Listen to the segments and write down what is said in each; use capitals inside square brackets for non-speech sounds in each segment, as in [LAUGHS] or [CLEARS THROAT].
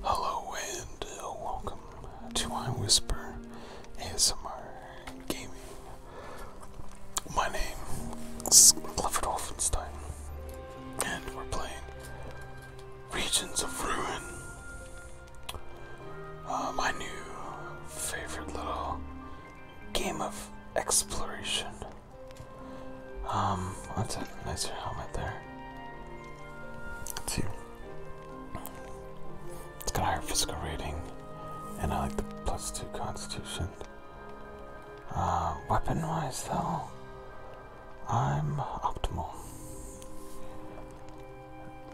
Hello and uh, welcome to I Whisper ASMR Gaming. My name is Clifford Wolfenstein, and we're playing Regions of Ruin, uh, my new favorite little game of exploration. Um, that's a nicer helmet there let It's got a higher physical rating, and I like the plus two constitution. Uh, weapon wise, though, I'm optimal.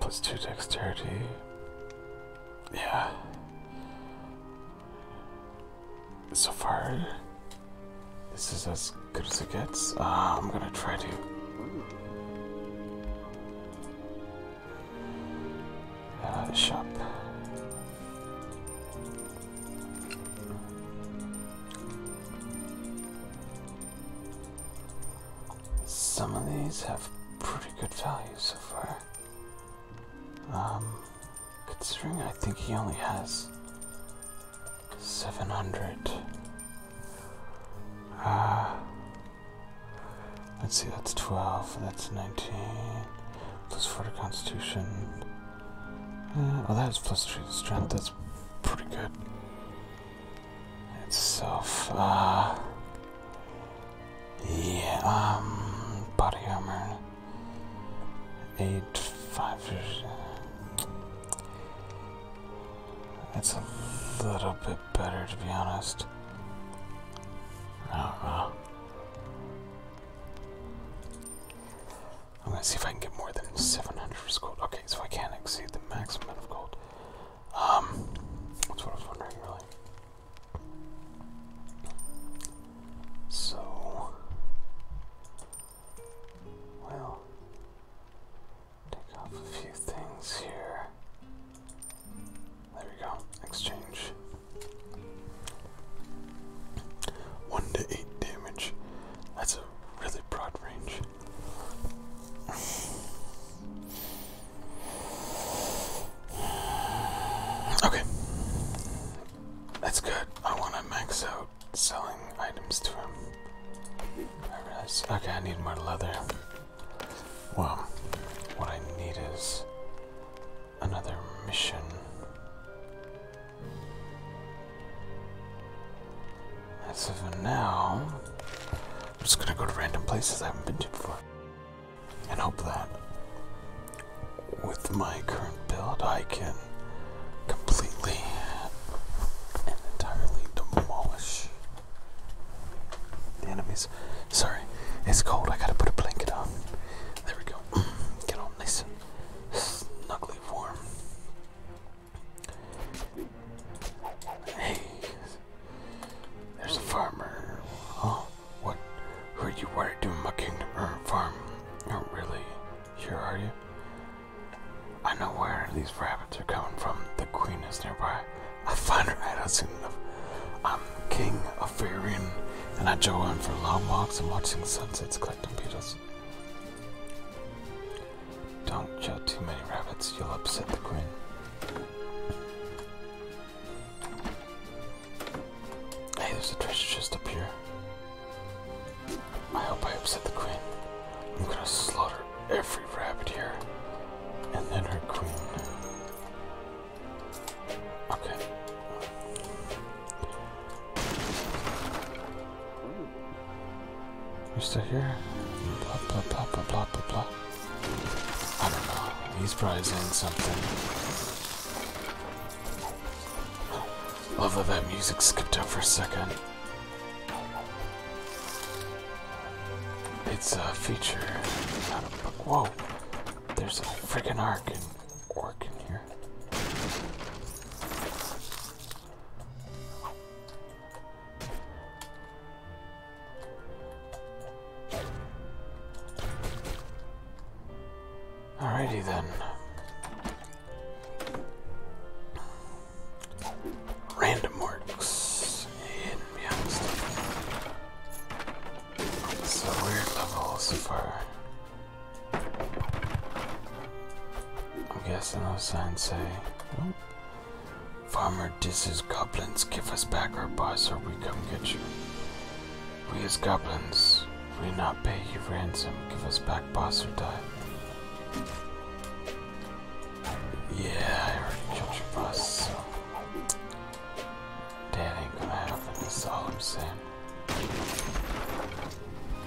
Plus two dexterity. Yeah. So far, this is as good as it gets. Ah, I'm gonna try to. shop. Some of these have pretty good value so far. Um, considering I think he only has Seven hundred. Uh, let's see, that's twelve. That's nineteen. Plus for the Constitution. Oh, well, that is plus three The strength. That's pretty good. It's so far. yeah. Um, body armor. Eight five. Uh, it's a little bit better, to be honest. I uh, I'm gonna see if I can get more than 700 gold. Okay, so I can't exceed the maximum of gold. Um, that's what I was wondering, really. So, well, Take off a few things here. There we go. Exchange. One to eight damage. That's a really broad range. [SIGHS] okay. That's good. I want to max out selling items to him. Okay, I need more leather. Well, what I need is another mission. As of now, I'm just gonna go to random places I haven't been to before. And hope that with my current build I can completely and entirely demolish the enemies. Sorry, it's cold. I gotta put a blanket on. There we go. [CLEARS THROAT] Get on nice snugly warm. Hey, there's a farmer. Oh, What? Who are you? What are you doing my kingdom or uh, farm? Not oh, really. Here, are you? I know where these rabbits are coming from. The queen is nearby. I find her out soon enough. I'm king of Farian, and I join for long walks and watching sunsets collecting beetles. Don't kill too many rabbits, you'll upset the queen. Hey, there's a treasure chest up here. I hope I upset the queen. I'm gonna slaughter every rabbit here. And then her queen. Okay. you still here? Blah blah blah blah blah blah I don't know. He's probably something. Love that that music skipped out for a second. It's a feature, Whoa! There's a freaking arc orc in here. Alrighty then random works So weird level I'm guessing those signs say oh. Farmer disses goblins, give us back our boss or we come get you. We as goblins, we not pay you ransom, give us back boss or die. Yeah, I already killed your boss, so that ain't gonna happen, that's all I'm saying.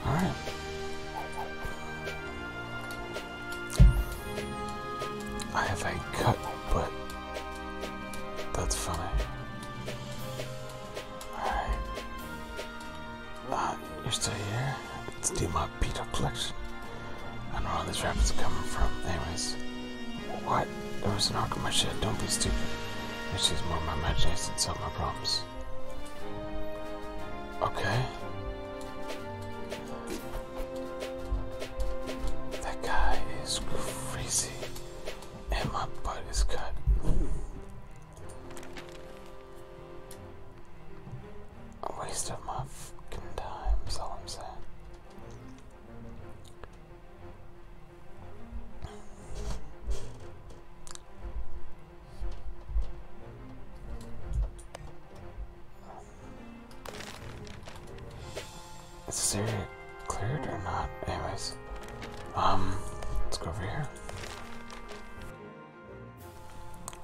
Alright. I have a cut, but that's fine. Alright you're still here? It's my Peter Collection. I know where these rappers are coming from. Anyways, what? There was an arc in my shed. Don't be stupid. It's just more my imagination to solve my problems. Okay. That guy is crazy. And my butt is cut a waste of my fucking time, That's all I'm saying. Is the area cleared or not? Anyways, um, let's go over here.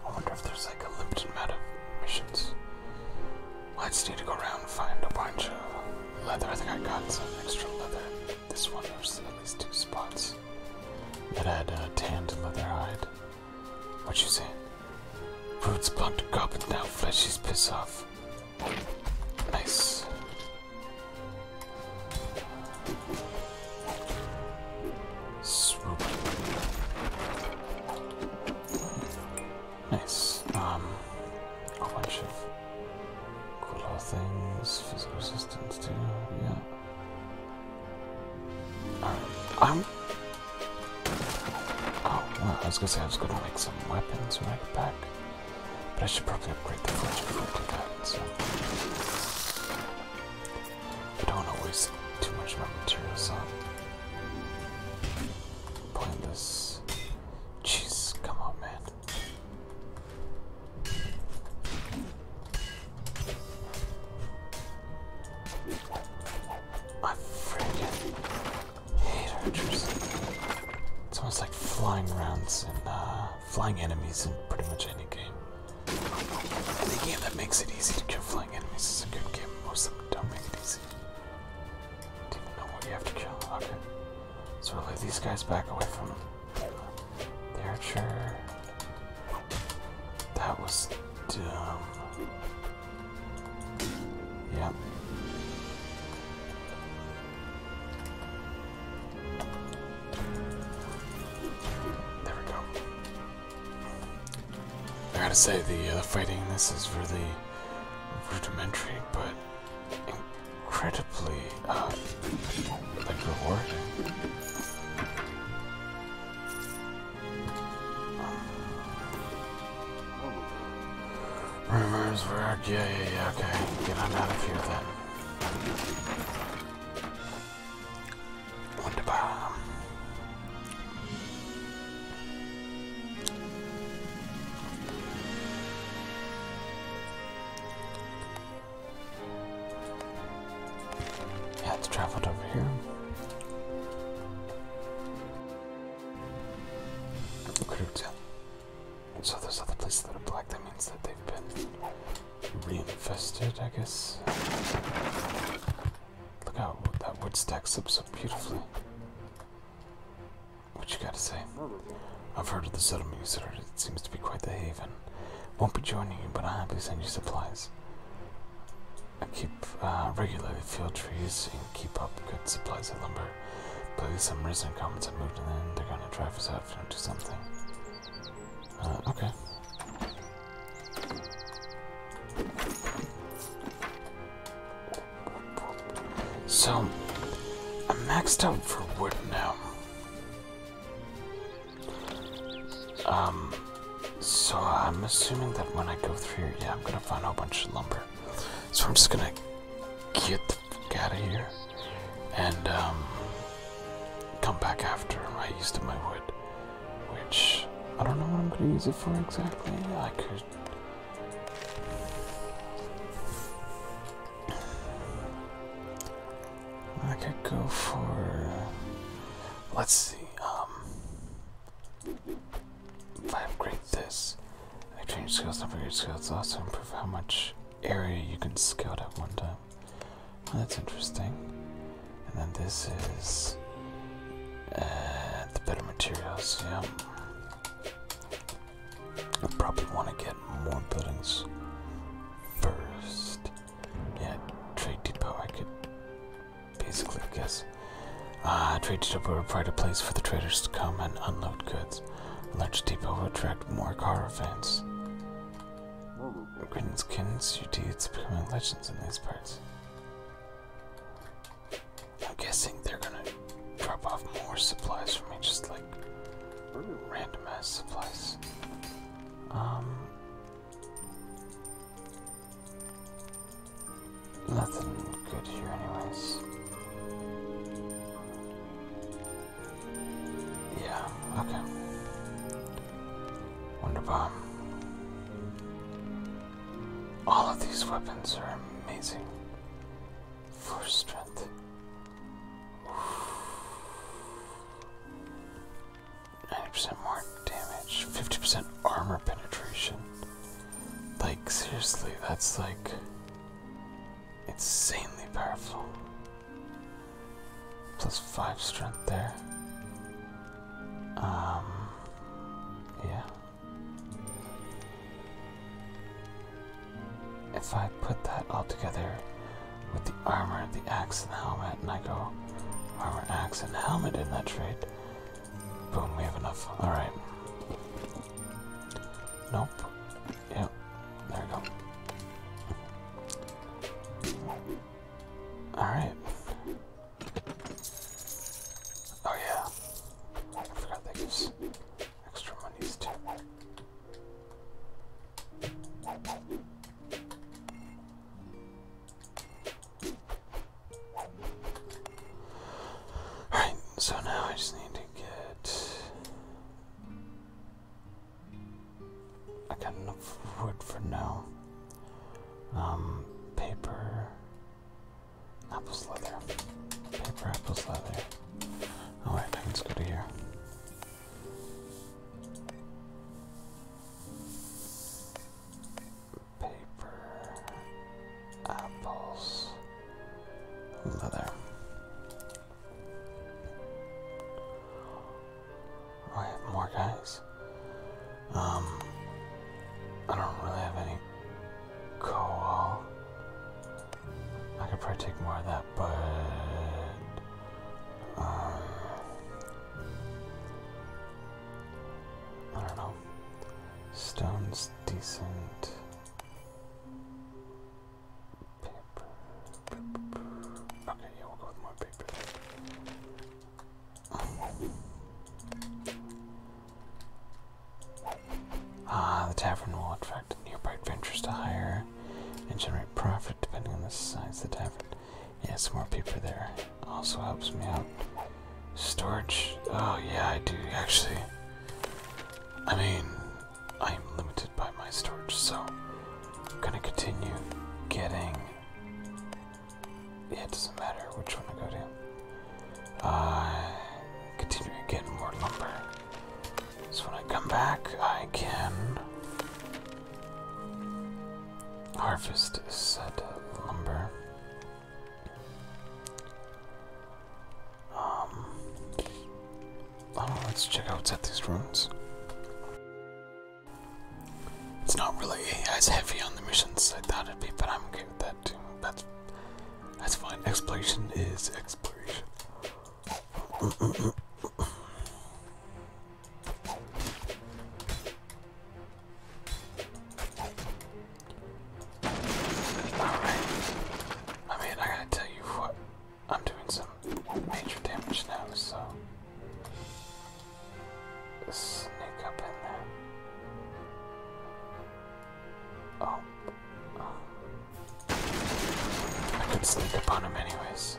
I wonder if there's like a limited amount of missions. Well, just need to go around and find a bunch of leather. I think I got some extra leather. This one there's at least two spots that had uh, tanned leather hide. What you say? Roots plucked a cup and now fleshy's piss off. Nice. Nice. Um, a bunch of cool things. Physical assistance too. Yeah. Alright. Uh, I'm. Um, oh, well, I was gonna say I was gonna make some weapons when I get back. But I should probably upgrade the forge before I do that, I don't want to waste too much of my materials on playing this. Jeez, come on, man. I freaking hate archers. It's almost like flying rounds and uh, flying enemies in pretty much any game. Any game that makes it easy to kill flying enemies is a good game most don't make it easy. Don't even know what you have to kill. Okay. So we'll leave these guys back away from the archer. That was dumb. Yep. There we go. I gotta say, the, the uh, fighting this is really rudimentary, but incredibly, uh, like, rewarding. Rumors were... Yeah, yeah, yeah, okay. Get out of here, then. Wunderbar. Yeah, it's traveled over here. Recruit. So there's other places that are black, that means that they've been reinvested, I guess. Look how that wood stacks up so beautifully. What you gotta say? I've heard of the settlement you it seems to be quite the haven. Won't be joining you, but I'll happily send you supplies. I keep uh, regularly field trees and keep up good supplies of lumber. But some recent comments have moved in, they're gonna drive us out to something. Uh, okay. So, I'm maxed out for wood now. Um, so I'm assuming that when I go through here, yeah, I'm gonna find a bunch of lumber. So I'm just gonna get the fuck out of here and um, come back after I used up my wood. Which I don't know what I'm gonna use it for exactly. I could I could go for let's see, um I upgrade this, I change skills, not upgrade skills, also improve how much area you can scale at one time. that's interesting. And then this is and uh, the better materials, yeah. I probably want to get more buildings first. Yeah, Trade Depot, I could basically guess. Uh, trade Depot would be a better place for the traders to come and unload goods. A large depot would attract more caravans. Greenskins, you do, it's becoming in these parts. I'm guessing they're gonna drop off more supplies for me, just like random ass supplies. Um, nothing good here, anyways. Yeah, okay. Wonder bomb. All of these weapons are amazing for strength. Ninety percent more damage, fifty percent armor penetration. Like seriously, that's like insanely powerful. Plus five strength there. Um, yeah. If I put that all together with the armor, the axe, and the helmet, and I go armor, axe, and helmet in that trade, boom, we have enough. Alright. Nope. Yep. There we go. Alright. Oh yeah. I forgot that gives extra monies too. Alright, so now I just need to get I got enough wood for now. Um paper Apple's leather. Paper apple's leather. Alright, oh, now let's go to here. Paper apples leather. I have more guys. Um, I don't really have any coal. I could probably take more of that, but um, I don't know. Stone's decent. Paper. Okay, yeah, will go with more paper. Ah, the tavern will attract nearby adventurers to hire and generate profit depending on the size of the tavern. Yeah, some more people there. Also helps me out. Storage? Oh yeah, I do actually. I mean, I'm limited by my storage, so I'm gonna continue getting yeah, it doesn't matter which one I go to. I continue to get more lumber. So when I come back, I can harvest said lumber. Um, let's check out what's these ruins. It's not really as heavy on the missions as I thought it'd be, but I'm okay with that too. That's fine. Exploration is exploration. Alright. I mean, I gotta tell you what, I'm doing some major damage now, so. Sneak up in there. Oh. oh. I could sneak up him anyways.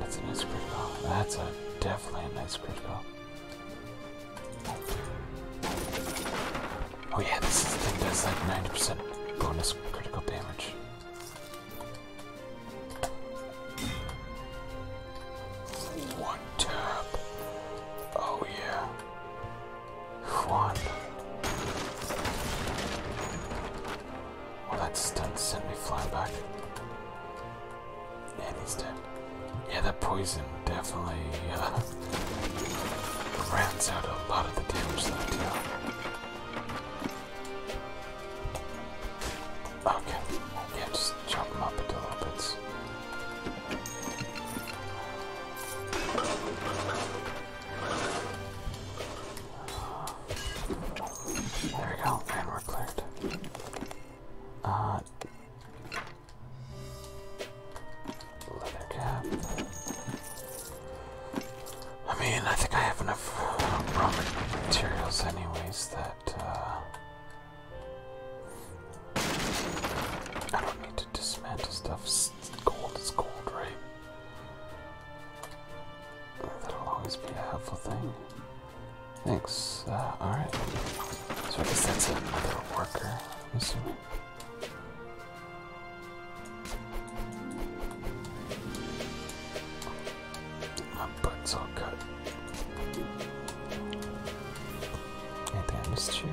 That's a nice critical. That's a definitely a nice critical. Oh yeah, this thing does like 90% bonus critical damage. One tap. Oh yeah. One. Well, that stun sent me flying back. And dead. Yeah, that poison definitely uh, out a lot of the damage that Okay, yeah, just chop them up into little bits. There we go, and we're cleared. Uh, leather cap. I mean, I think I have enough uh, raw materials, anyways, that uh, I don't need to dismantle stuff. Gold is gold, right? That'll always be a helpful thing. Thanks. Uh, alright. So I guess that's another worker, I'm assuming. My butt's all cut. Anything I missed here?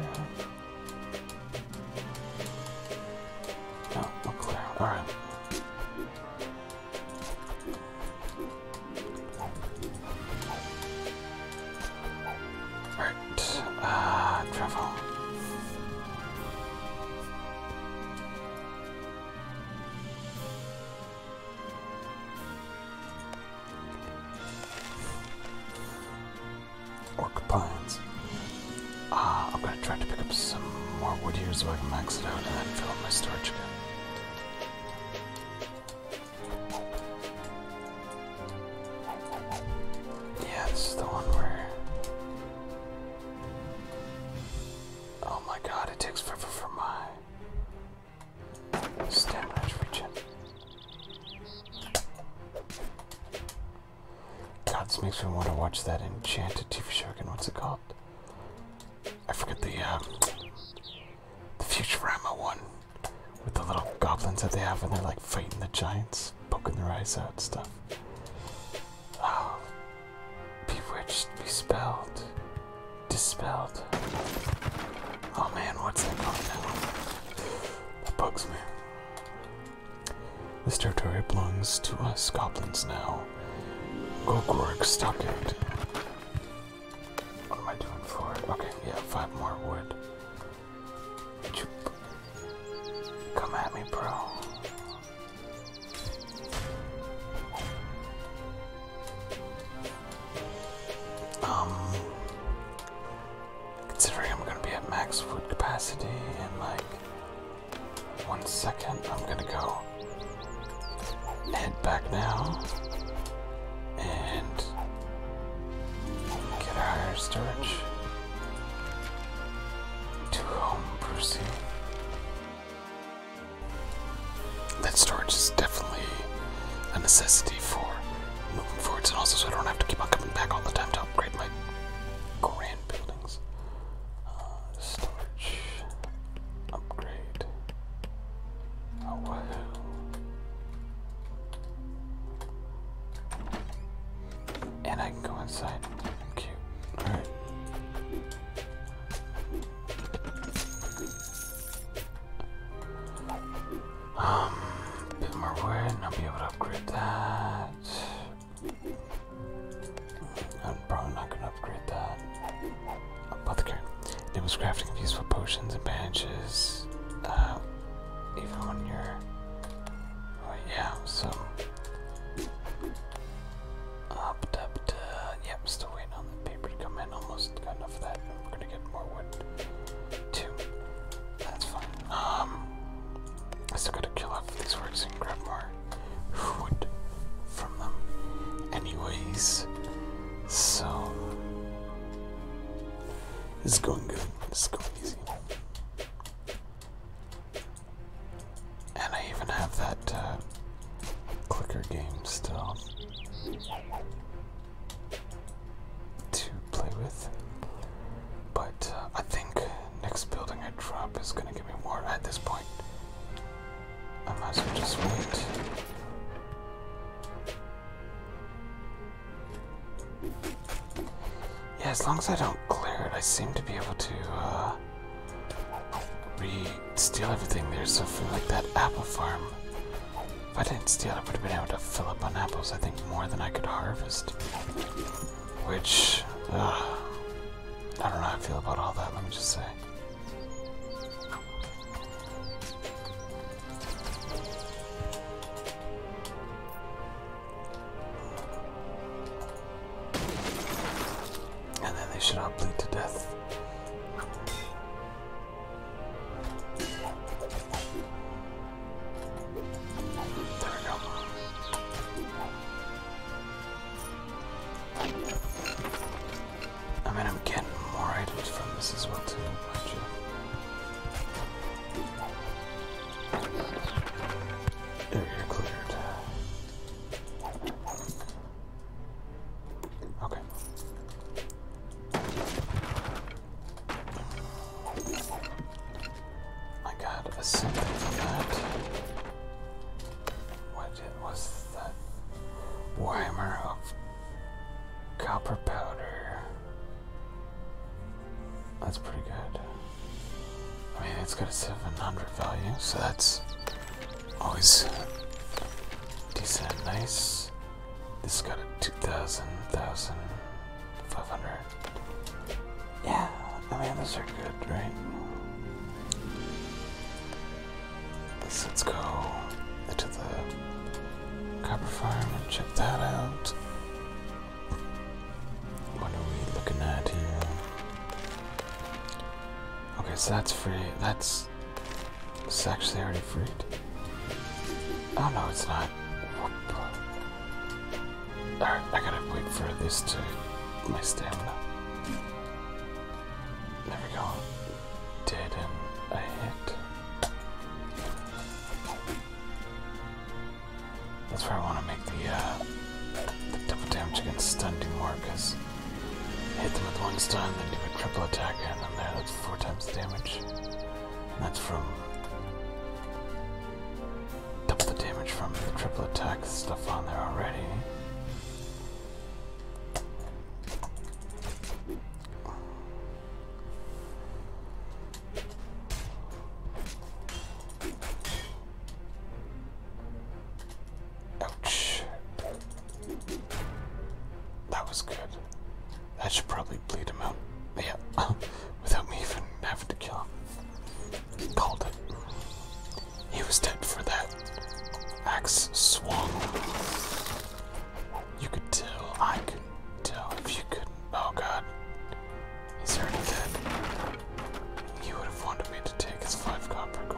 Oh, no, we're Alright. Alright, uh, travel. Orc pines. Ah, I'm gonna try to pick up some more wood here so I can max it out and then fill up my storage again. Yeah, this is the one where. Oh my god, it takes forever for my Standard God, this makes me want to watch that enchanted TV show again. What's it called? I forget the um, the Futurama one with the little goblins that they have, and they're like fighting the giants, poking their eyes out, and stuff. Oh, bewitched, bespelled dispelled. Oh man, what's that called oh, That bugs me. This territory belongs to us goblins now. Gorgorg, stockade. What am I doing for it? Okay, yeah, five more wood. Come at me, bro. Um, considering I'm gonna be at max food capacity in like one second, I'm gonna go head back now and get a higher storage to home proceed. That storage is definitely a necessity for moving forwards, and also so I don't have to keep on coming back all the time to upgrade my grand buildings. Uh, storage upgrade. Oh wow. And I can go inside. Cute. Alright. Um, a bit more wood, and I'll be able to upgrade that. I'm probably not gonna upgrade that. Apothecary. It was crafting of useful potions and bandages. Uh, even when you're. Oh, yeah, so. Up, up, up. Uh, yep, still waiting on the paper to come in. Almost got that. We're gonna get more wood too. That's fine. Um, I still gotta kill off these works and grab more wood from them. Anyways, so it's going good. It's going easy. And I even have that uh, clicker game still to play with. But uh, I think next building I drop is gonna give me more at this point. I might as well just wait. Yeah, as long as I don't clear it, I seem to be able to uh, re-steal everything. There's something like that apple farm if I didn't steal, I would have been able to fill up on apples, I think, more than I could harvest. Which, I don't know how I feel about all that, let me just say. And then they should all bleed to death. There we go. I mean, I'm getting more items from this as well, too, are cleared. Okay. I got a symbol from that. What it was that Weimer of copper powder. That's pretty good. I mean it's got a 700 value, so that's always decent nice. This got a 2,000, 1,500. Yeah, I mean, those are good, right? Let's, let's go to the copper farm and check that out. What are we looking at here? Okay, so that's free. That's. It's actually already freed. Oh no, it's not. I gotta wait for this to my stamina. There we go. Dead and I hit. That's where I want to make the, uh, the double damage against stun do more, because hit them with one stun, then do a triple attack, and then there, that's four times damage. That's from double the damage from the triple attack stuff on there already. Ouch. That was good. I should probably bleed him out. Yeah, [LAUGHS] without me even having to kill him. Called it. He was dead for that. Axe swung. You could tell. I could tell if you couldn't. Oh god. He's already dead. He would have wanted me to take his five copper gold.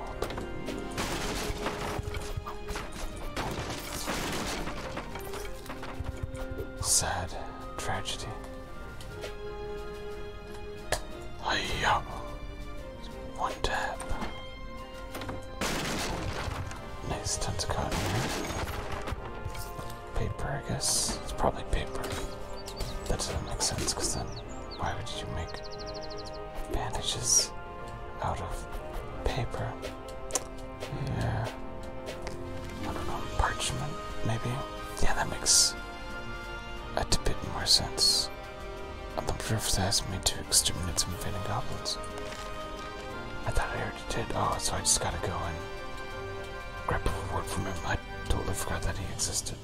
Sad tragedy. Hiya! One tap. Nice tentacle Paper, I guess. It's probably paper. That doesn't make sense, because then why would you make bandages out of paper? Yeah. I don't know, parchment, maybe? Yeah, that makes a bit more sense. The am not sure me to exterminate some invading goblins. I thought I already did. Oh, so I just gotta go and grab a reward from him. I totally forgot that he existed.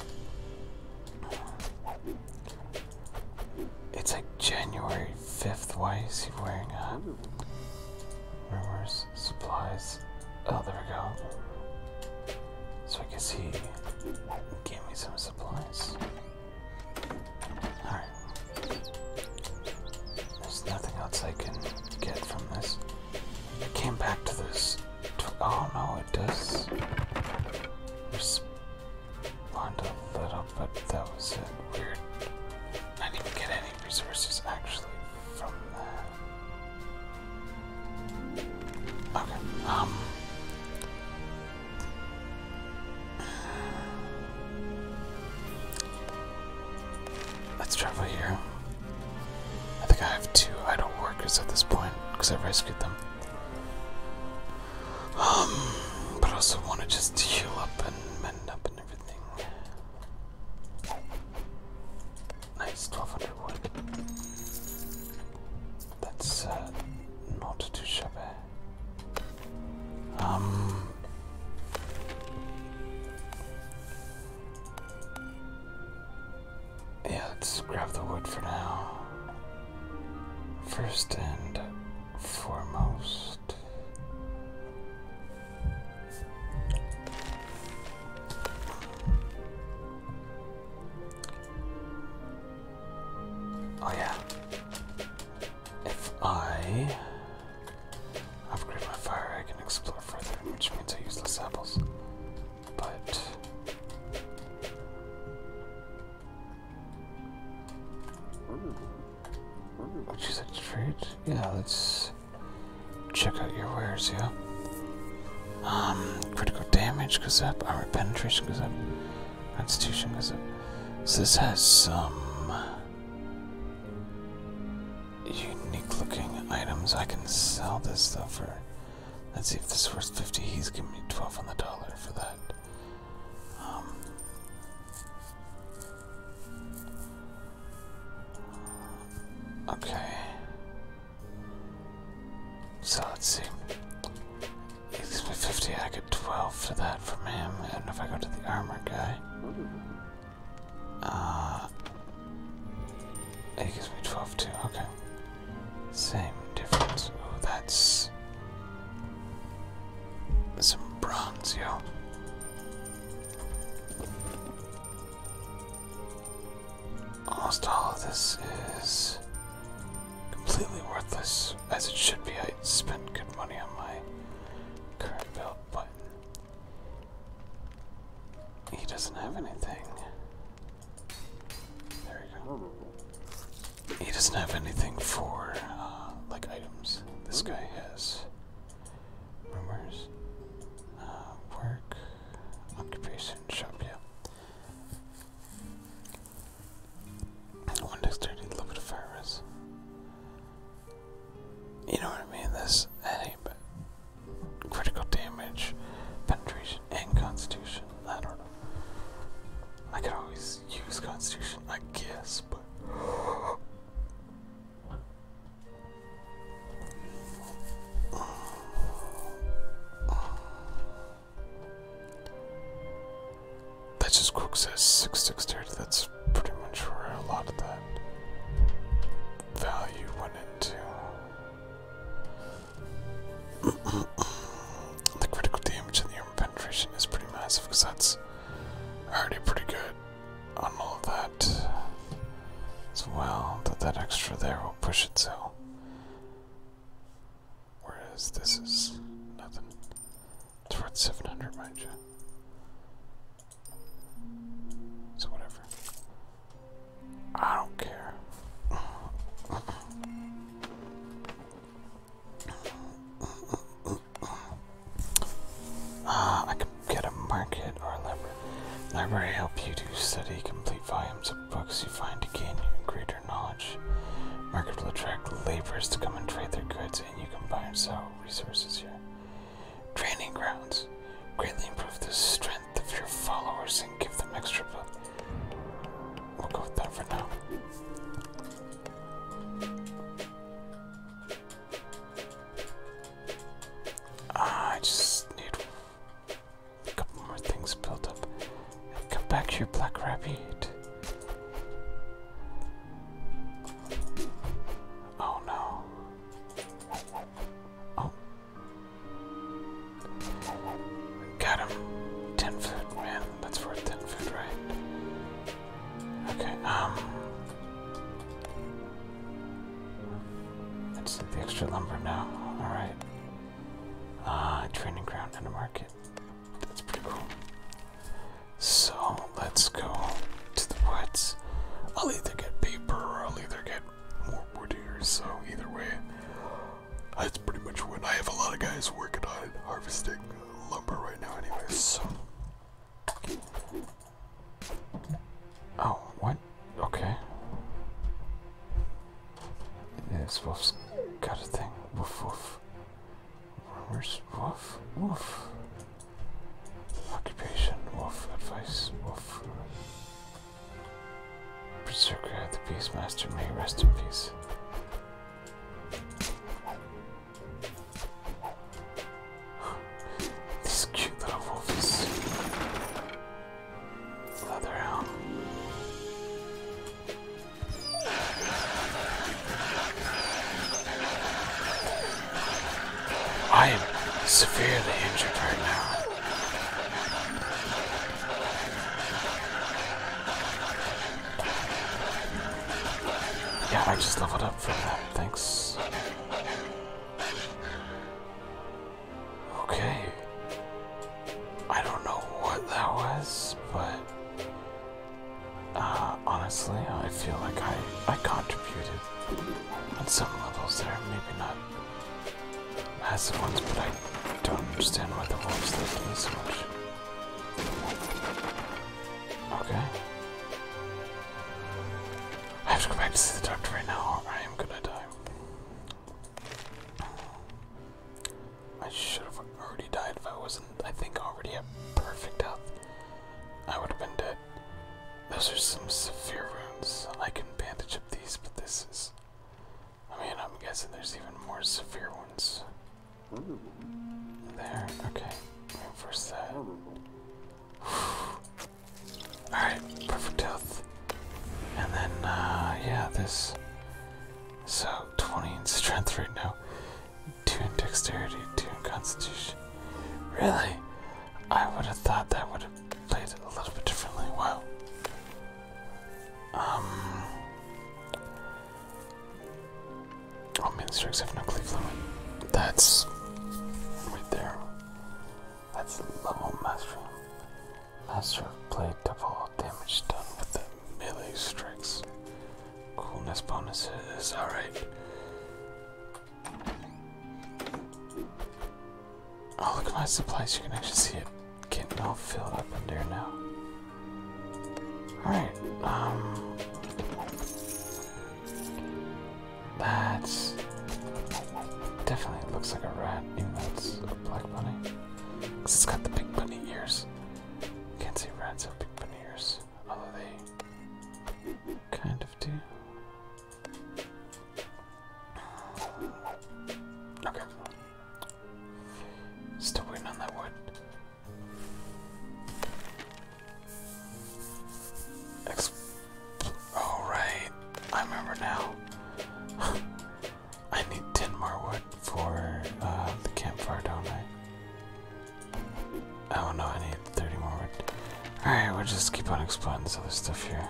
It's a January 5th. Why is he wearing a rumors? supplies. Oh, there we go. So I can see. Give me some supplies. Alright. There's nothing else I can get from this. I came back to this. Oh no, it does respond a little, but that was it. Weird. I didn't even get any resources actually Okay, um. Let's travel here. I think I have two idle workers at this point because I rescued them. Um, but I also want to just heal up and mend up. Nice, 1200 wood. That's uh, not too shabby. Um, yeah, let's grab the wood for now. First and foremost, Oh yeah. If I upgrade my fire, I can explore further, which means I use less apples. But which is a trait. Yeah, let check out your wares, yeah? Um, critical damage goes up, armor penetration goes up, constitution goes up. So this has some unique looking items. I can sell this though for, let's see if this worth 50, he's giving me 12 on the dollar for that. Um, Okay. So let's see. He gives me 50, I get 12 for that from him. And if I go to the armor guy, uh, he gives me 12 too. Okay. Same difference. Oh, that's some bronze, yo. Almost all of this is completely worthless, as it should be. I spent good money on my current build, but he doesn't have anything. There we go. He doesn't have anything for uh, like items. This hmm. guy has rumors, uh, work, occupation, shop, yeah. One dexterity, of fire risk. You know what I mean? This any but critical damage, penetration, and constitution. I don't know. I could always use constitution, I guess, but that just quick says 668. That's pretty much where a lot of that value went into. the critical damage and the armor penetration is pretty massive because that's already pretty good on all that as well, that that extra there will push it so. Whereas this is nothing. It's worth 700, mind you. So whatever. I don't care. uh, [COUGHS] I can get a market or a library. Library help you to study complete volumes of books you find to gain greater knowledge. Market will attract laborers to come and trade their goods, and you can buy and sell resources here. Training grounds greatly improve the strength of your followers and give them extra book. We'll go with that for now. Ah, I just need a couple more things built up. And come back here, Black Rabbit. Oh no. Oh. Got him. Ten food, man. That's worth ten food, right? Okay, um. Let's take the extra lumber now. Alright. Ah, uh, training ground in the market. That's pretty cool. So let's go to the woods. I'll either get paper or I'll either get more wood here, so either way, that's pretty much what I have a lot of guys working on harvesting lumber right now, Anyways. So. Oh, what? Okay. Yes, Wolf's got a thing. Woof woof. Rumors, woof, woof. Occupation, woof. Advice, woof. Berserker, the Beastmaster, may rest in peace. this cute little wolf Leather helm. I am severely injured right now. Yeah, I just leveled up from that, thanks. Okay. I don't know what that was, but uh, honestly, I feel like I I contributed on some levels there. Maybe not massive ones, but I don't understand why the wolves like me so much. Okay. I have to go back to see the doctor right now, or I am gonna die. I should have already died if I wasn't, I think, already at perfect health. I would have been dead. Those are some severe wounds. I can bandage up these, but this is. I mean, I'm guessing there's even more severe ones. There, okay. First, that. [SIGHS] Alright, perfect health. And then, uh, yeah, this. So, 20 in strength right now, 2 in dexterity, 2 in constitution. Really? I would have thought that would have played a little bit differently. Wow. Um. Oh, main have no cleave That's. right there. That's level mastery. Master of Blade double damage done with the melee strikes. Coolness bonuses, alright. Oh, look at my supplies. You can actually see it getting all filled up in there now. Alright, um, that's definitely looks like a rat, even though it's a black bunny. Cause it's got the big bunny ears. Can't see rats have big bunny ears, although they kind of do. Okay. Still waiting on that wood. Ex Oh, I remember now. [SIGHS] I need 10 more wood for uh, the campfire, don't I? Oh no, I need 30 more wood. Alright, we'll just keep on exploring this other stuff here.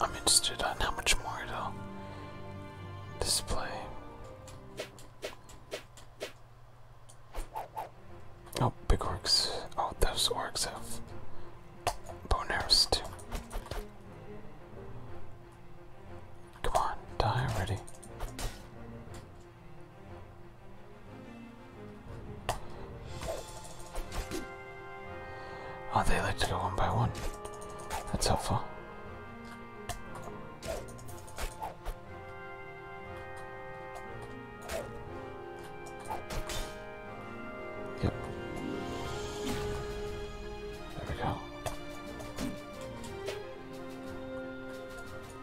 I'm interested on how much more it'll display. Oh, big orcs. Oh, those orcs have bone arrows too. Come on, die already. Oh, they like to go one by one. That's helpful. Yep. There we go.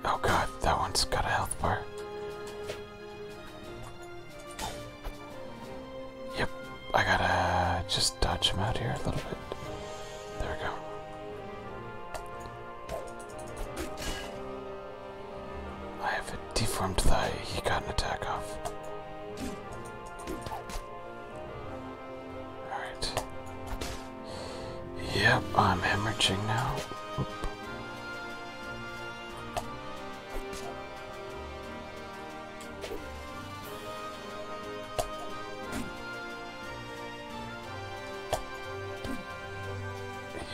Oh god, that one's got a health bar. Yep, I gotta just dodge him out here a little bit. There we go. I have a deformed thigh. He got an attack off. Alright. Yep, I'm hemorrhaging now.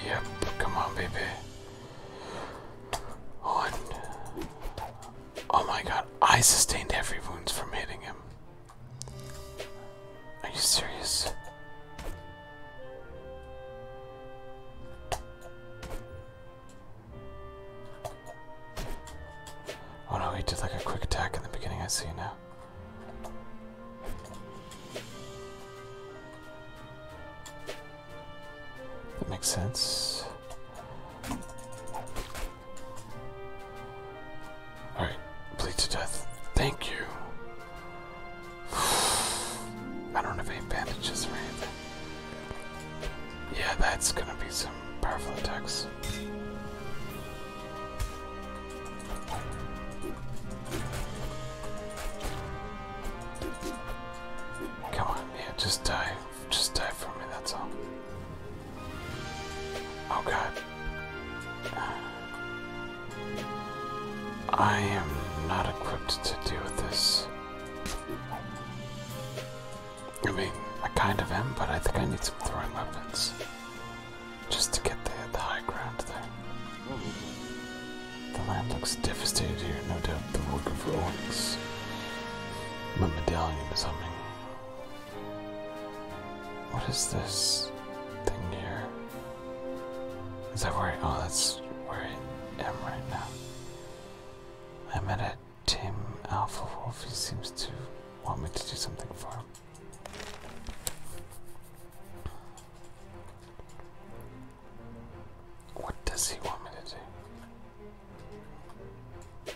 Yep, come on, baby. On. Oh my god, I sustained heavy wounds from hitting him. Are you serious? Oh no, he did like a quick attack in the beginning, I see now. That makes sense. Alright, bleed to death. Thank you. [SIGHS] I don't have any bandages or Yeah, that's gonna be some powerful attacks. Come on, yeah, just die. Just die for me, that's all. Oh god. I am not equipped to deal with this. I mean, I kind of am, but I think I need some throwing weapons just to get the, the high ground there. The land looks devastated here, no doubt the work of Owens. My medallion is humming. What is this thing here? Is that where I, oh, that's where I am right now. I met a Tim Alpha Wolf, he seems to want me to do something for him. What does he want me to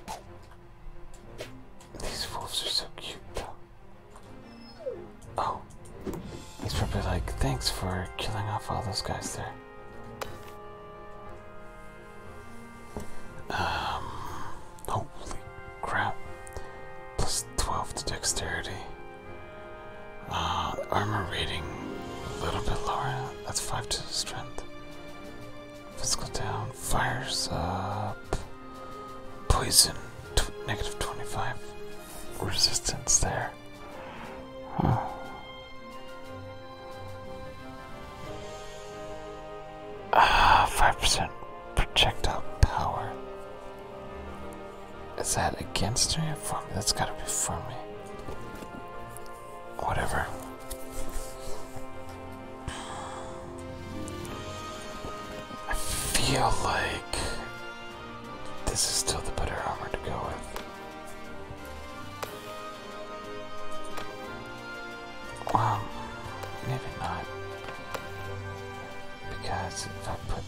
do? These wolves are so cute, though. Oh, he's probably like, thanks for killing off all those guys there. Um, hopefully crap. Plus 12 to dexterity. Uh, armor rating a little bit lower. That's 5 to strength. Physical down. Fires up. Poison. 25. Resistance there. Ah, 5% ah, projectile power. Is that against me or for me? That's gotta be for me. Whatever. I feel like this is still the better armor to go with. Well, maybe not. Because if I put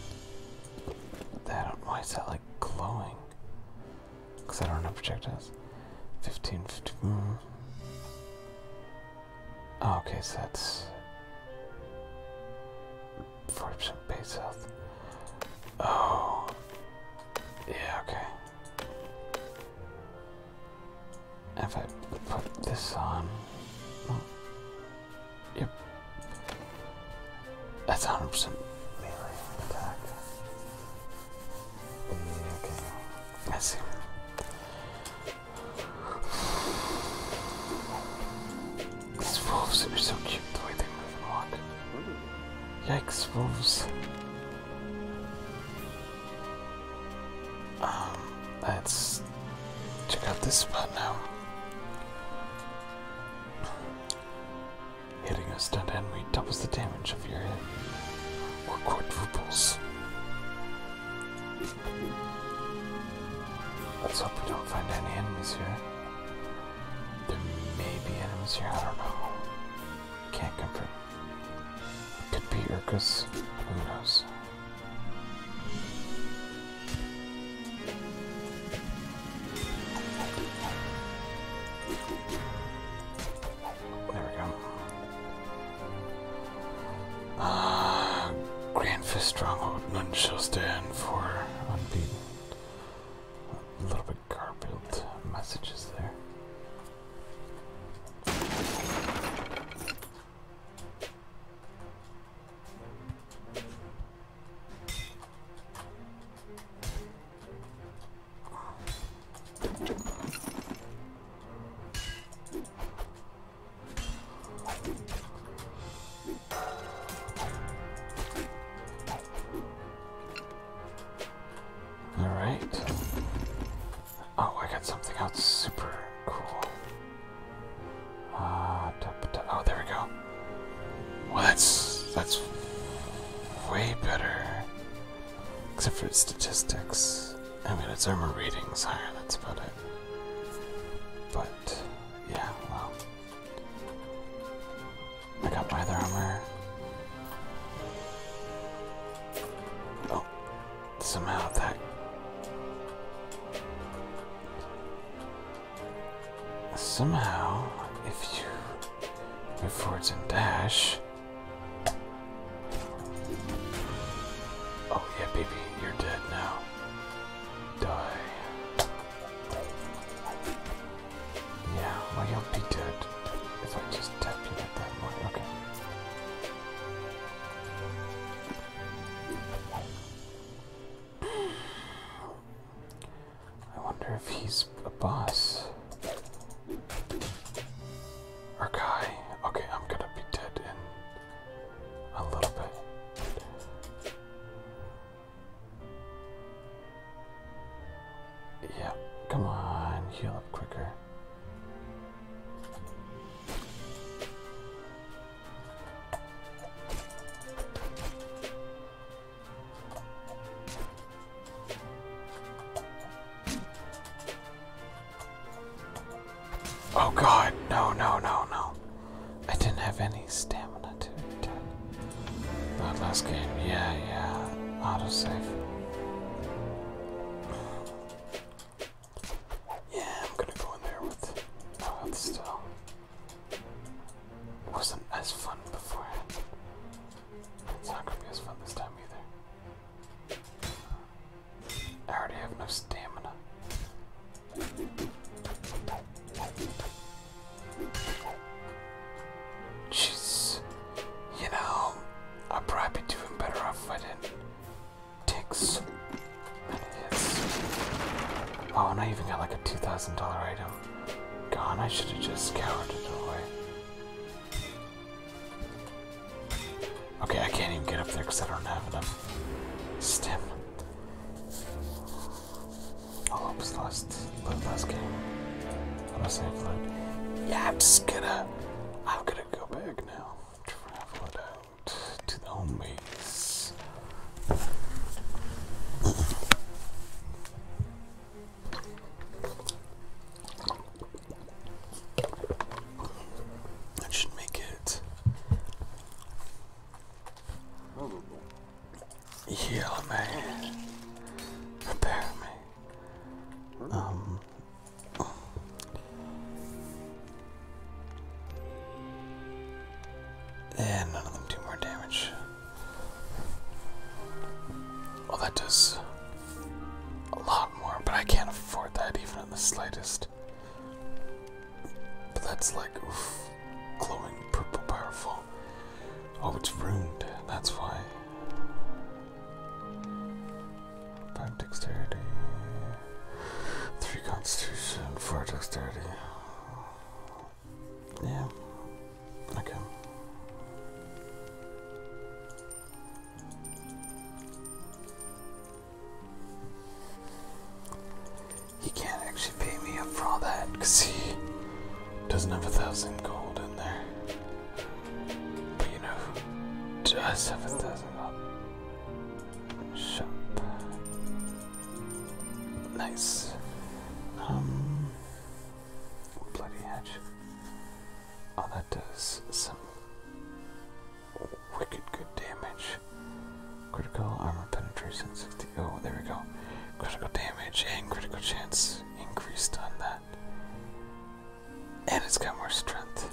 that on, why is that like glowing? Because I don't know projectiles. 15, 15. Mm. okay, so that's 40% base health. Oh, yeah, okay. If I put this on, hmm. Yep. That's 100% melee attack. Yeah, okay. I see. These wolves are so cute Yikes, wolves. Um, that's check out this spot now. Hitting a stunned enemy doubles the damage of your hit, or quadruples. Let's hope we don't find any enemies here. There may be enemies here, I don't know. Can't confirm. Could be Urkus, who knows. There we go. Uh, Grand Fist Stronghold. None shall stand for unbeaten. A little bit garbled messages there. All right. Oh, I got something else super cool. Ah, oh, there we go. Well, that's that's way better, except for its statistics. I mean, its armor rating's higher. Let's put it. But yeah, well, I got my other armor. Oh, somehow that somehow, if you move forwards and dash. Oh, yeah, baby, you're dead now. Die. Yeah, well, you'll be dead if I just tap you that point. Okay. I wonder if he's a boss. Or Okay, I'm gonna be dead in a little bit. Yeah, come on, heal up quicker. Oh god, no, no, no, no. I didn't have any stamina to attack. That last game, yeah, yeah. Autosave. Yeah, I'm gonna go in there with still wasn't as fun beforehand. It's not gonna be as fun this time either. I already have no stamina. Jeez. You know, I'd probably be doing better off if I didn't take Oh, and I even got like a $2,000 item. Gone, I should have just scoured it away. Okay, I can't even get up there because I don't have enough stem. Oh, i was hope it's last, last game. Unless I have like, yeah, I'm just gonna, I'm gonna go back now. Travel it out to the home base. Nice. That should make it. Heal me. Prepare me. Um. And none of them do more damage. Well, that does a lot more, but I can't afford that even in the slightest. But that's like, oof, glowing purple powerful. Oh, it's ruined, that's why. Five dexterity, three constitution, four dexterity. Yeah. Okay. He can't actually pay me up for all that he doesn't have a thousand gold in there. But you know does have a thousand gold? Shop. Nice. Um, bloody hedge. Oh, that does some wicked good damage. Critical armor penetration Oh, there we go. Critical damage and critical chance increased on that. And it's got more strength.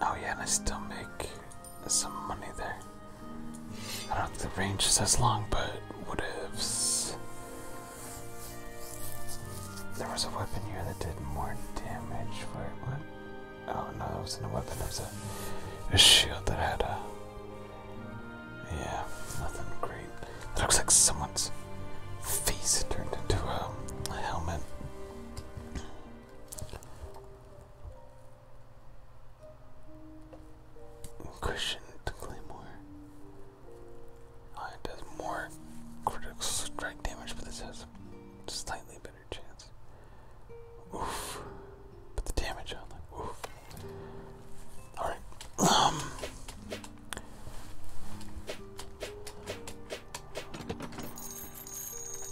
Oh, yeah, and I still make there's some money there. I don't think the range is as long, but what if there was a weapon here that did more damage? for it Oh no, that wasn't a weapon. That was a, a shield that had a yeah, nothing great. looks like someone's face turned into a helmet. Question to Claymore. Oh, it does more critical strike damage, but this has slightly better chance. Oof. Put the damage on Oof. Alright. Um.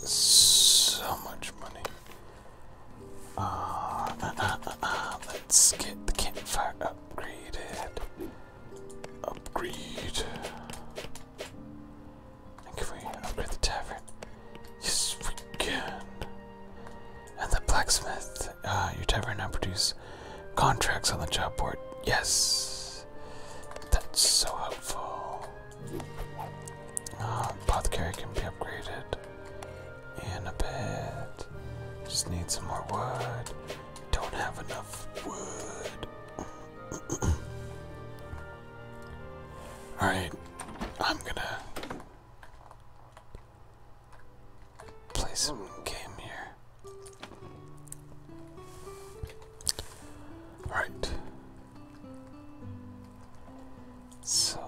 So much money. Ah, let's get the campfire upgraded. Upgrade. can we upgrade the tavern? Yes, we can. And the blacksmith. Uh, your tavern now produces contracts on the job board. Yes. That's so helpful. Uh, apothecary can be upgraded in a bit. Just need some more wood. Don't have enough wood. Alright, I'm gonna play some game here. Alright. So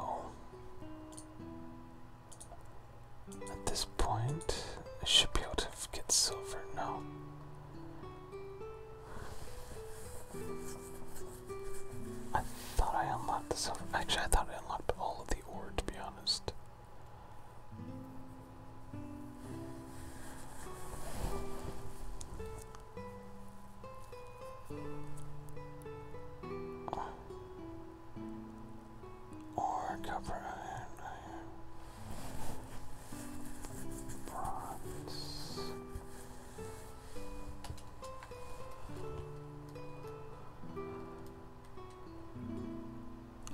at this point, I should be able to get silver now. I thought I unlocked the silver. Actually, I thought I unlocked all of the ore, to be honest. Or copper, bronze.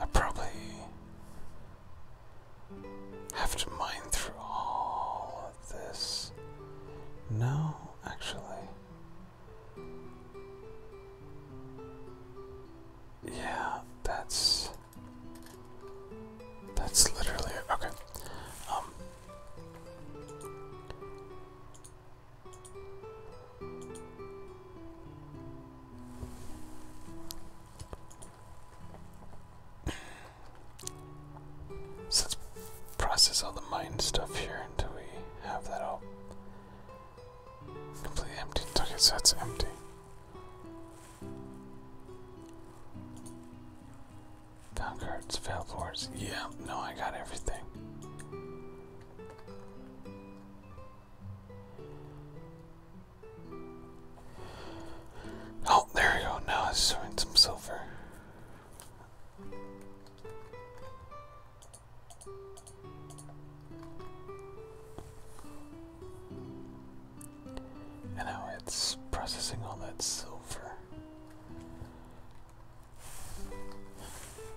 I probably have to mine through all of this. No, actually. Yeah, that's that's literally okay. Um, let's process all the mind stuff here until we have that all completely empty. Okay, so that's empty. Found cards, found boards. Yeah, no, I got everything. Oh, there we go. Now it's showing some silver. And now it's processing all that silver.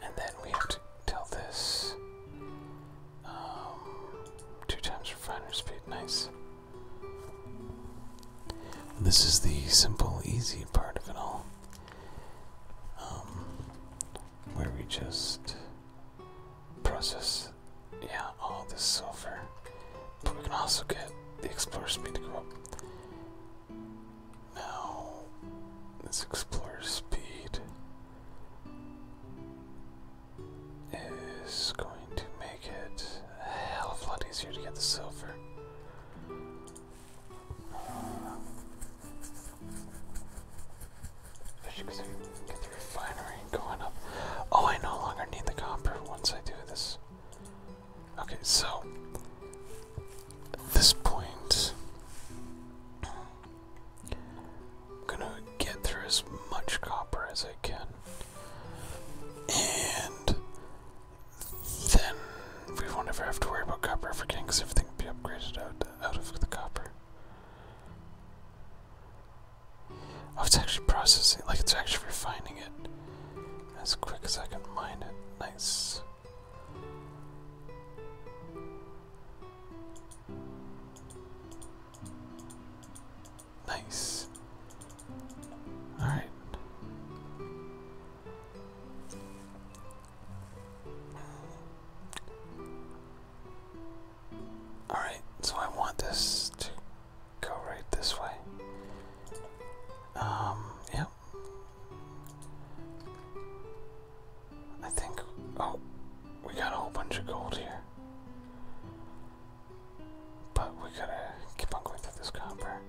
And then we have to tell this um, two times refiner speed. Nice. This is the simple, easy part of it all. Um, where we just process, yeah, all the silver. But we can also get the explorer speed to go up. Now, this explorer speed is going to make it a hell of a lot easier to get the silver. Oh, I no longer need the copper once I do this. Okay, so at this point, I'm gonna get through as much copper as I can, and then we won't ever have to worry about copper for because Everything will be upgraded out out of the copper. Oh, it's actually processing. Like it's actually refining it as quick as I can mine it. Nice. Nice. Alright. Alright, so I want this to go right this way. Um, yep. I think, oh, we got a whole bunch of gold here. But we gotta keep on going through this copper.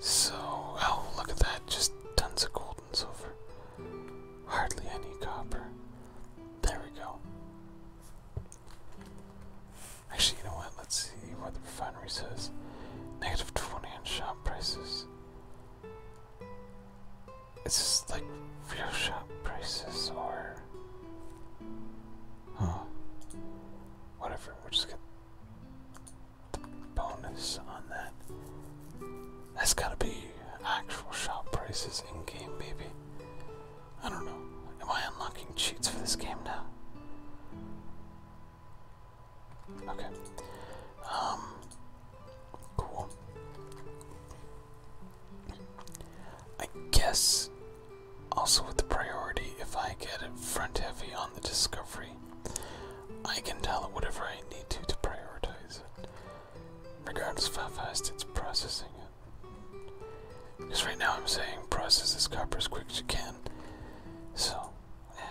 So, oh, look at that, just tons of gold and silver. Hardly any copper. There we go. Actually, you know what? Let's see what the refinery says. Negative 20 on shop prices. It's just like real shop prices or. Huh. Whatever, we are just gonna bonus on that. That's gotta be actual shop prices in game, maybe. I don't know. Am I unlocking cheats for this game now? Okay. Um. Cool. I guess also with the priority, if I get it front heavy on the Discovery, I can tell it whatever I need to to prioritize it, regardless of how fast it's processing it. Because right now I'm saying process this copper as quick as you can, so yeah,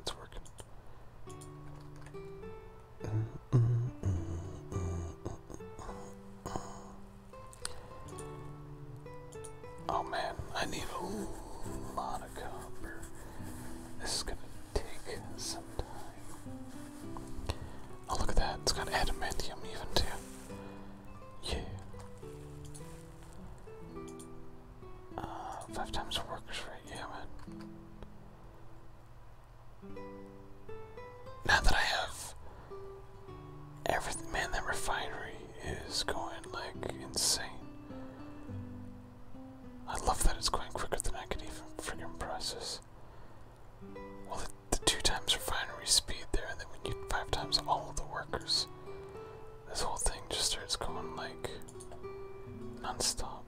it's working. Oh man, I need a lot of copper. This is gonna take some time. Oh look at that, it's got adamantium even too. Yeah. Uh, five times workers for yeah man. Now that I have everything, man, that refinery is going like insane. I love that it's going quicker than I could even friggin' process. Well, the, two times refinery speed there, and then we need five times all of the workers. This whole thing just starts going like non-stop.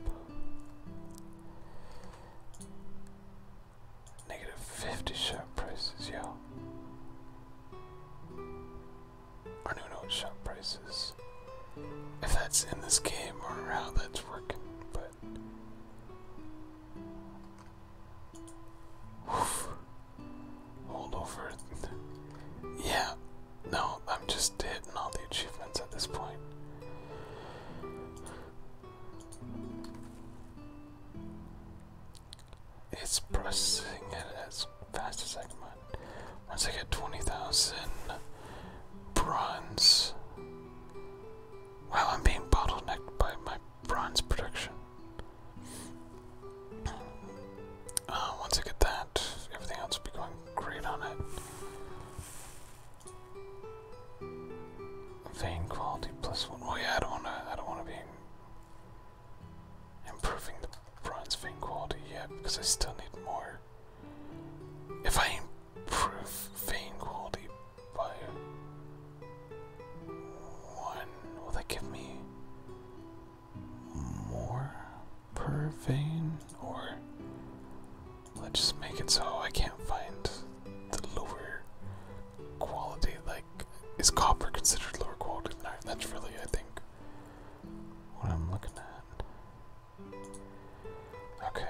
Negative 50 share prices, yo our new note shop prices. If that's in this game or how that's working, but Oof. Hold over. Yeah. No, I'm just hitting all the achievements at this point. It's processing it as Fastest as I can mine. Once I get 20,000 bronze. Wow, I'm being bottlenecked by my bronze production. Uh, once I get that, everything else will be going great on it. Vein quality plus one. Oh yeah, I don't wanna. I don't wanna be improving bronze vein quality yet because I still need more. If I improve vein quality by one, will that give me more per vein? Or let's just make it so I can't find the lower quality. Like, is copper considered lower quality That's really, I think, what I'm looking at. Okay.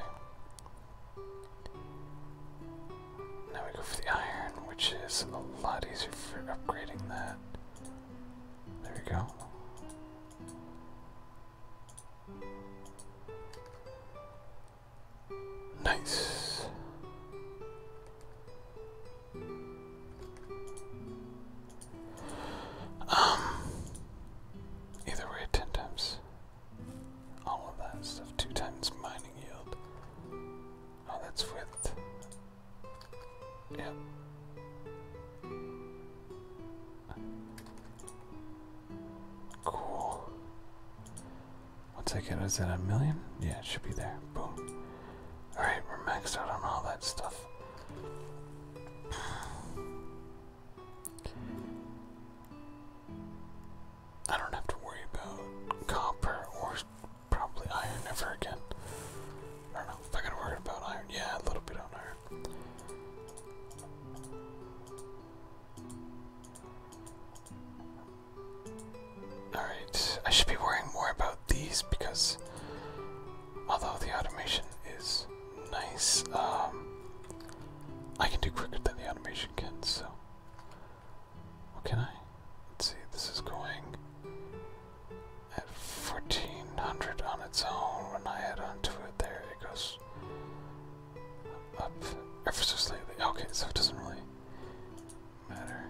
Now we go for the iron, which is a lot easier for upgrading that. There we go. Nice. Um, either way, 10 times all of that stuff, 2 times mining yield. Oh, that's with. Yep. Cool. Once I get, is that a million? Yeah, it should be there. Boom. Alright, we're maxed out on all that stuff. I don't have to worry about copper or probably iron ever again. I don't know if I gotta worry about iron. Yeah, a little bit on iron. Alright, I should be worrying more about these because although the automation is nice, um, I can do quicker than the automation can, so. What can I? Let's see, this is going at 1400 on its own. When I add onto it there, it goes up ever so slightly. Okay, so it doesn't really matter.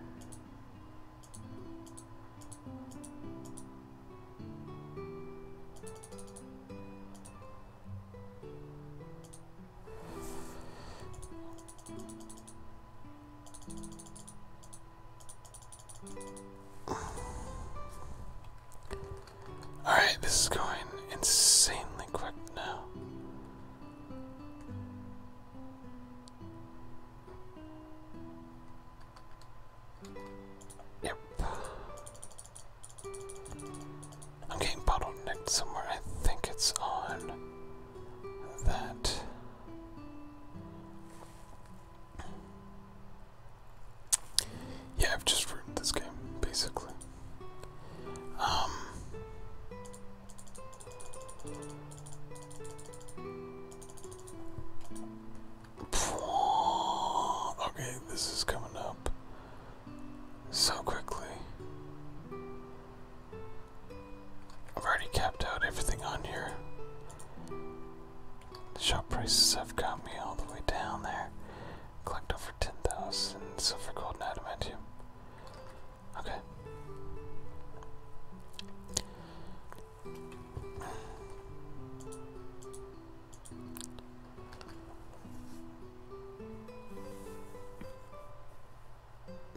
Alright, this is going insanely quick now. Yep. I'm getting bottlenecked somewhere. I think it's on that. Yeah, I've just ruined this game, basically. Um. Okay, this is coming up so quickly. I've already capped out everything on here. The shop prices have got me all the way down there. Collect over 10,000 silver, gold, and adamantium. Okay.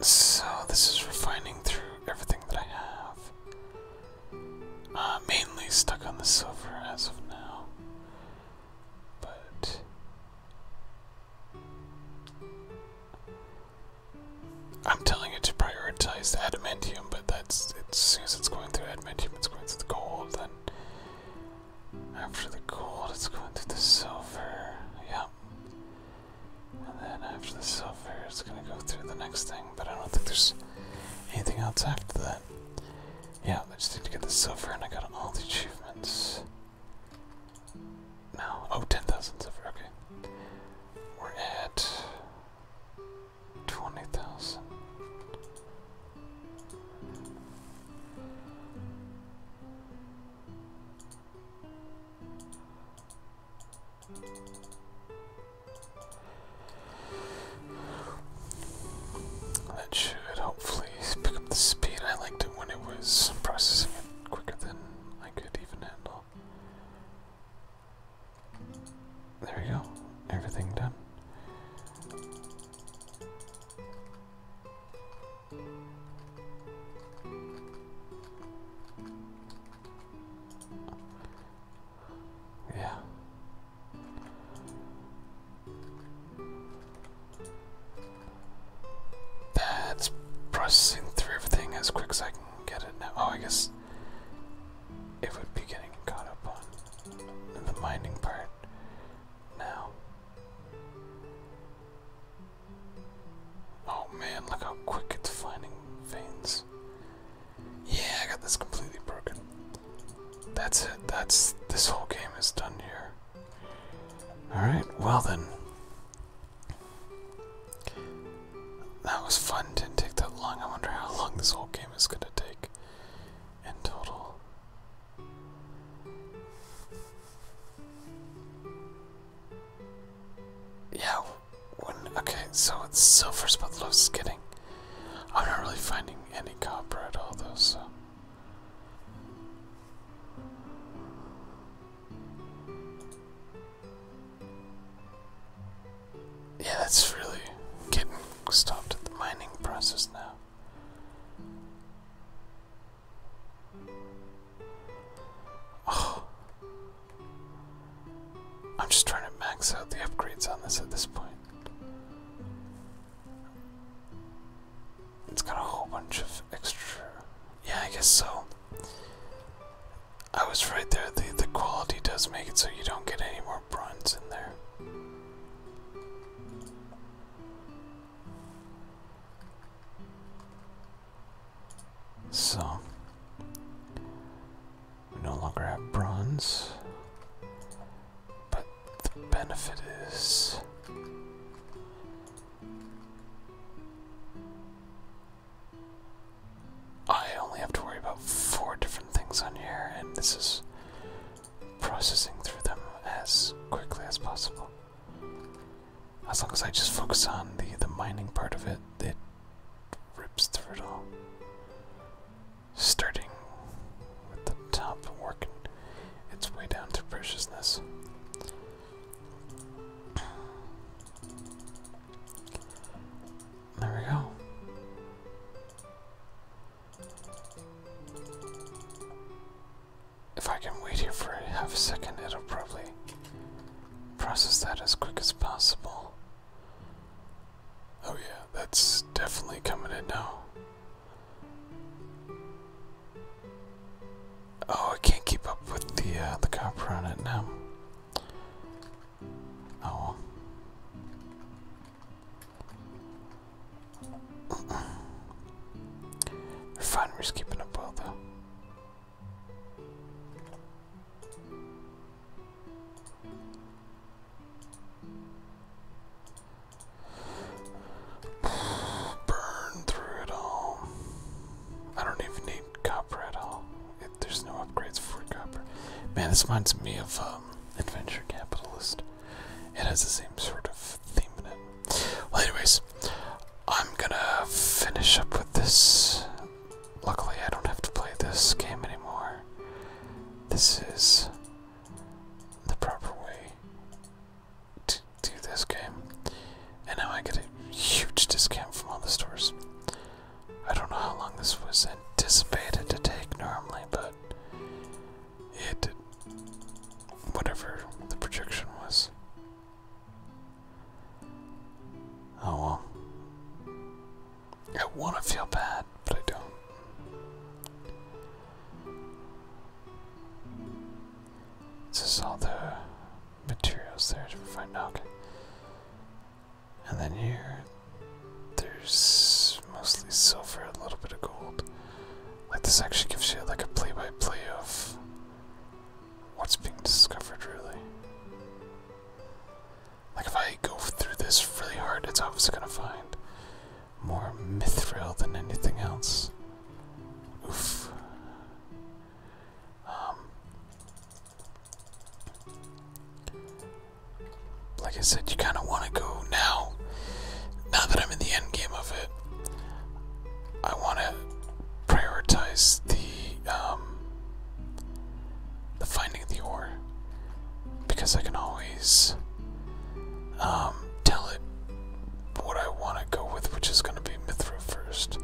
So, this is refining through everything that I have. Uh, mainly stuck on the silver as of now. But. I'm telling you to prioritize adamantium, but that's it, as soon as it's going through adamantium, it's going through the gold, then after the gold, it's going through the silver. Yep. And then after the silver, it's gonna go through the next thing, but I don't think there's anything else after that. Yeah, I just need to get the silver, and I got all the achievements. Now, Oh, 10,000 silver, okay. We're at twenty thousand. That should hopefully pick up the speed. I liked it when it was processing quicker than I could even handle. There we go. Everything done. Yeah. That's processing through everything as quick as I can get it now. Oh, I guess it would be getting caught up on in the mining part now. Oh man, look how quick it's finding veins. Yeah, I got this completely broken. That's it. That's this whole game is done here. Alright, well then. That was fun. Didn't take that long. I wonder how long this whole game is gonna take in total. Yeah, okay, so it's silver spot low skidding. I'm not really finding any copper at all, though, so. Yeah, that's really getting stopped at the mining process now. Oh. I'm just trying to max out the upgrades on this at this point. It's got a whole bunch of extra. Yeah, I guess so. I was right there. The the quality does make it so you don't get any more bronze in there. So, we no longer have bronze, but the benefit is I only have to worry about four different things on here, and this is processing through them as quickly as possible. As long as I just focus on the the mining part of it, it rips through it all. Starting with the top working its way down to preciousness. There we go. If I can wait here for a half a second, it'll probably process that as quick as possible. Oh, yeah, that's definitely coming in now. Oh, I can't keep up with the uh, the copper on it now. Oh. Refinery's keeping up well, though. Burn through it all. I don't even need copper at all. there's no upgrades for copper. Man, this reminds me of um, Adventure Capitalist. It has the same sort of theme in it. Well, anyways, I'm gonna finish up with this. Luckily, I don't have to play this game anymore. This is the proper way to do this game. And now I get a huge discount from all the stores. I don't know how long this was anticipated to take normally, but hit whatever the projection was. Oh well. I want to feel bad, but I don't. This is all the materials there to find out. And then here, there's mostly silver, a little bit of gold. Like this actually gives you like a play-by-play of what's being discovered, really. Like if I go through this really hard, it's obviously gonna find more mythril than anything else. Oof. Um, like I said, you kind of want to go now. Now that I'm in the end game of it, I want to prioritize the um, the finding of the ore because I can always um, tell it what I want to go with, which is going to be Mithril first.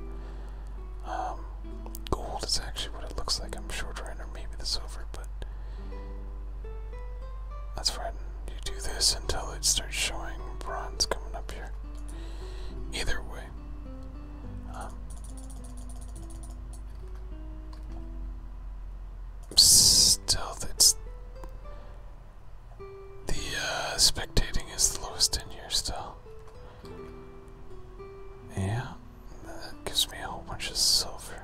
Um, gold is actually what it looks like. I'm short right, or maybe the silver, but that's right. You do this until it starts showing bronze coming up here. Either way. Um, still, it's. The uh, spectating is the lowest in here still. Yeah, that gives me a whole bunch of silver.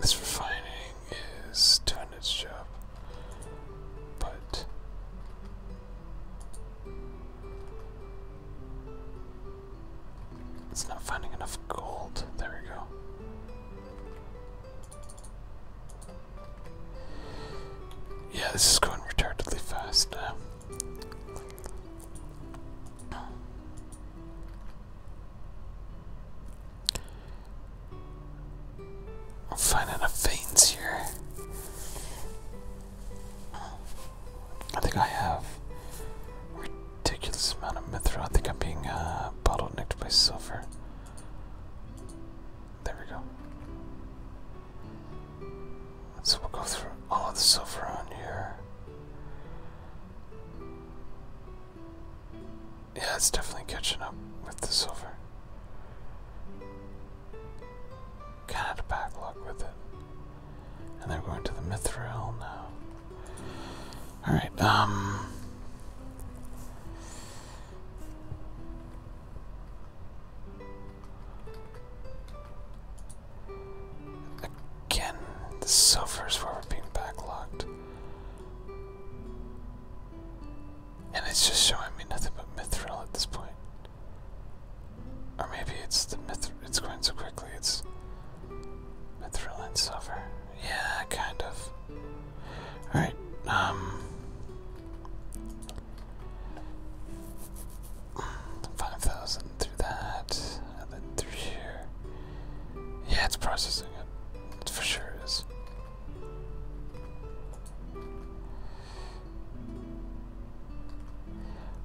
This refining is doing its job, but it's not finding enough gold. There we go. Yeah, this is going retardedly fast now. I'm finding veins here. I think I have a ridiculous amount of mithril. I think I'm being uh, bottlenecked by silver. There we go. So we'll go through all of the silver on here. Yeah, it's definitely catching up with the silver. Kind of a backlog with it. And they're going to the mithril now. Alright, um, Again, the silver's where we're being backlogged. And it's just showing me nothing but mithril at this point. Or maybe it's the mithril, it's going so quickly, it's mithril and silver. Yeah, kind of. Alright, um. Five thousand through that and then through here. Yeah, it's processing it. for sure is.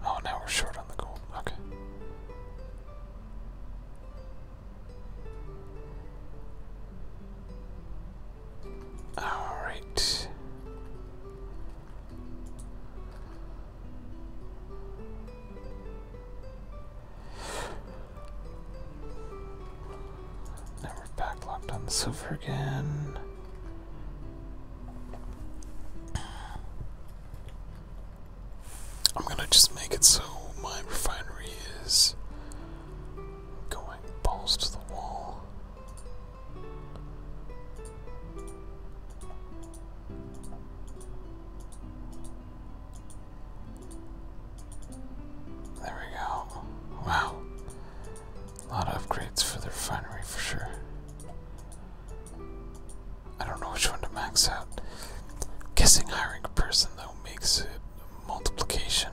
Oh, now we're short on the gold. Okay. All right. Now we're back locked on silver again. I'm gonna just make it so my refinery is going balls to the wall. There we go. Wow. A lot of upgrades for the refinery for sure. I don't know which one to max out. Guessing hiring a person though makes it multiplication.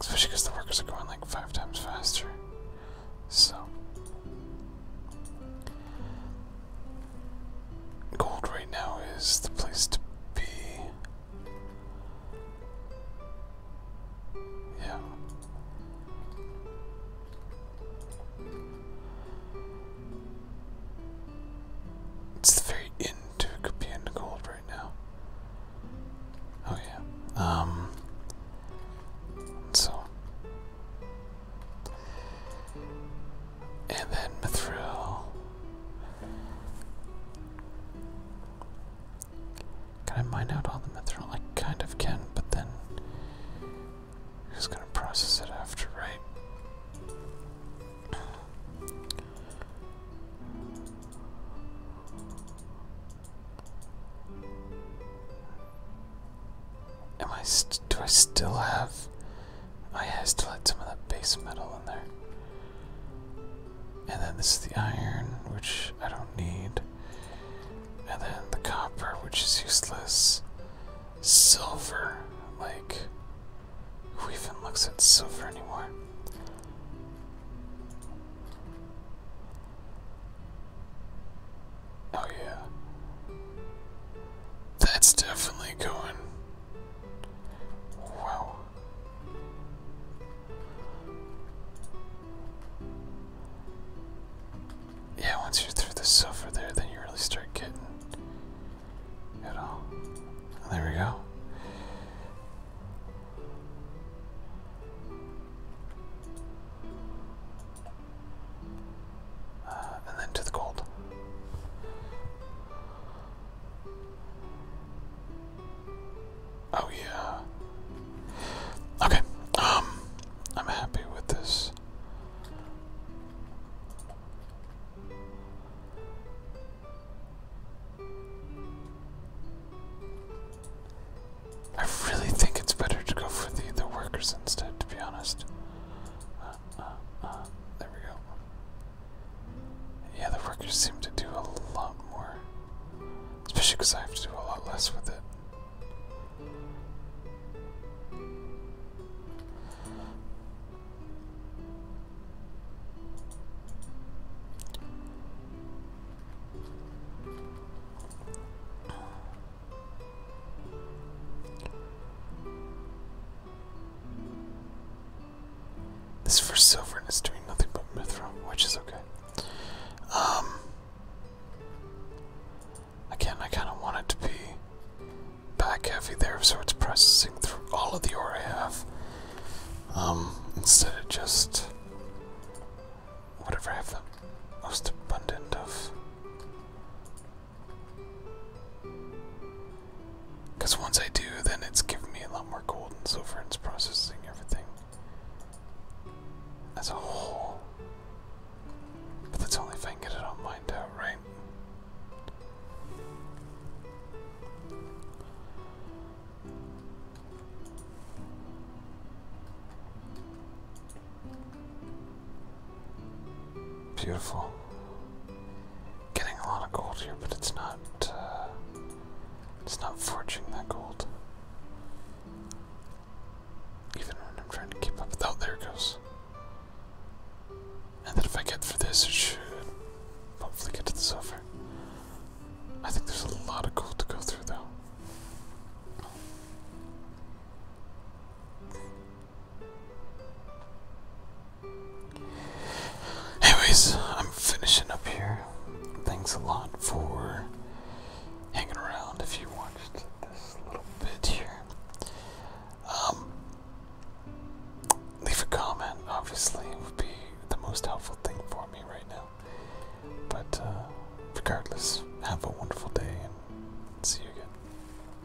Especially because the workers are going like five times faster. So Gold right now is the place to be. Yeah. It's very end to Capian right now. Oh yeah. Um so and then Mithril. Can I mine out all the Mithril? I kind of can, but then who's gonna process it after, right? Am I? do I still have? Oh yeah, I still had some of that base metal in there. And then this is the iron, which I don't need. And then the copper, which is useless. Silver, like who even looks at silver anymore? Oh, yeah. That's definitely going. Wow. Yeah, once you're through the sofa there, then you really start getting it all. There we go. Uh, and then to the gold. Oh yeah. Okay. Um I'm happy with this. I really think it's better to go for the the workers instead, to be honest. Uh, there we go. Yeah, the workers seem to do a lot more, especially because I have to do a lot less with it. This first silver is doing nothing but mithril, which is okay. Um Again, I kinda want it to be back heavy there, so it's processing through all of the ore I have. Um, instead of just whatever I have the most abundant of. Because once I do, then it's giving me a lot more gold and silver and it's processing everything as a whole. But that's only if I get it all mined out, right? Beautiful. Getting a lot of gold here, but it's not. Uh, it's not forging that gold. Even when I'm trying to keep up with. Oh, there goes. And then if I get for this, it should hopefully get to the silver. I think there's a lot of gold to go through, though. Anyways, I'm finishing up here. Thanks a lot for hanging around if you watched this little bit here. Um, leave a comment, obviously, it would be the most helpful thing for me right now. But uh, regardless, have a wonderful day and see you again.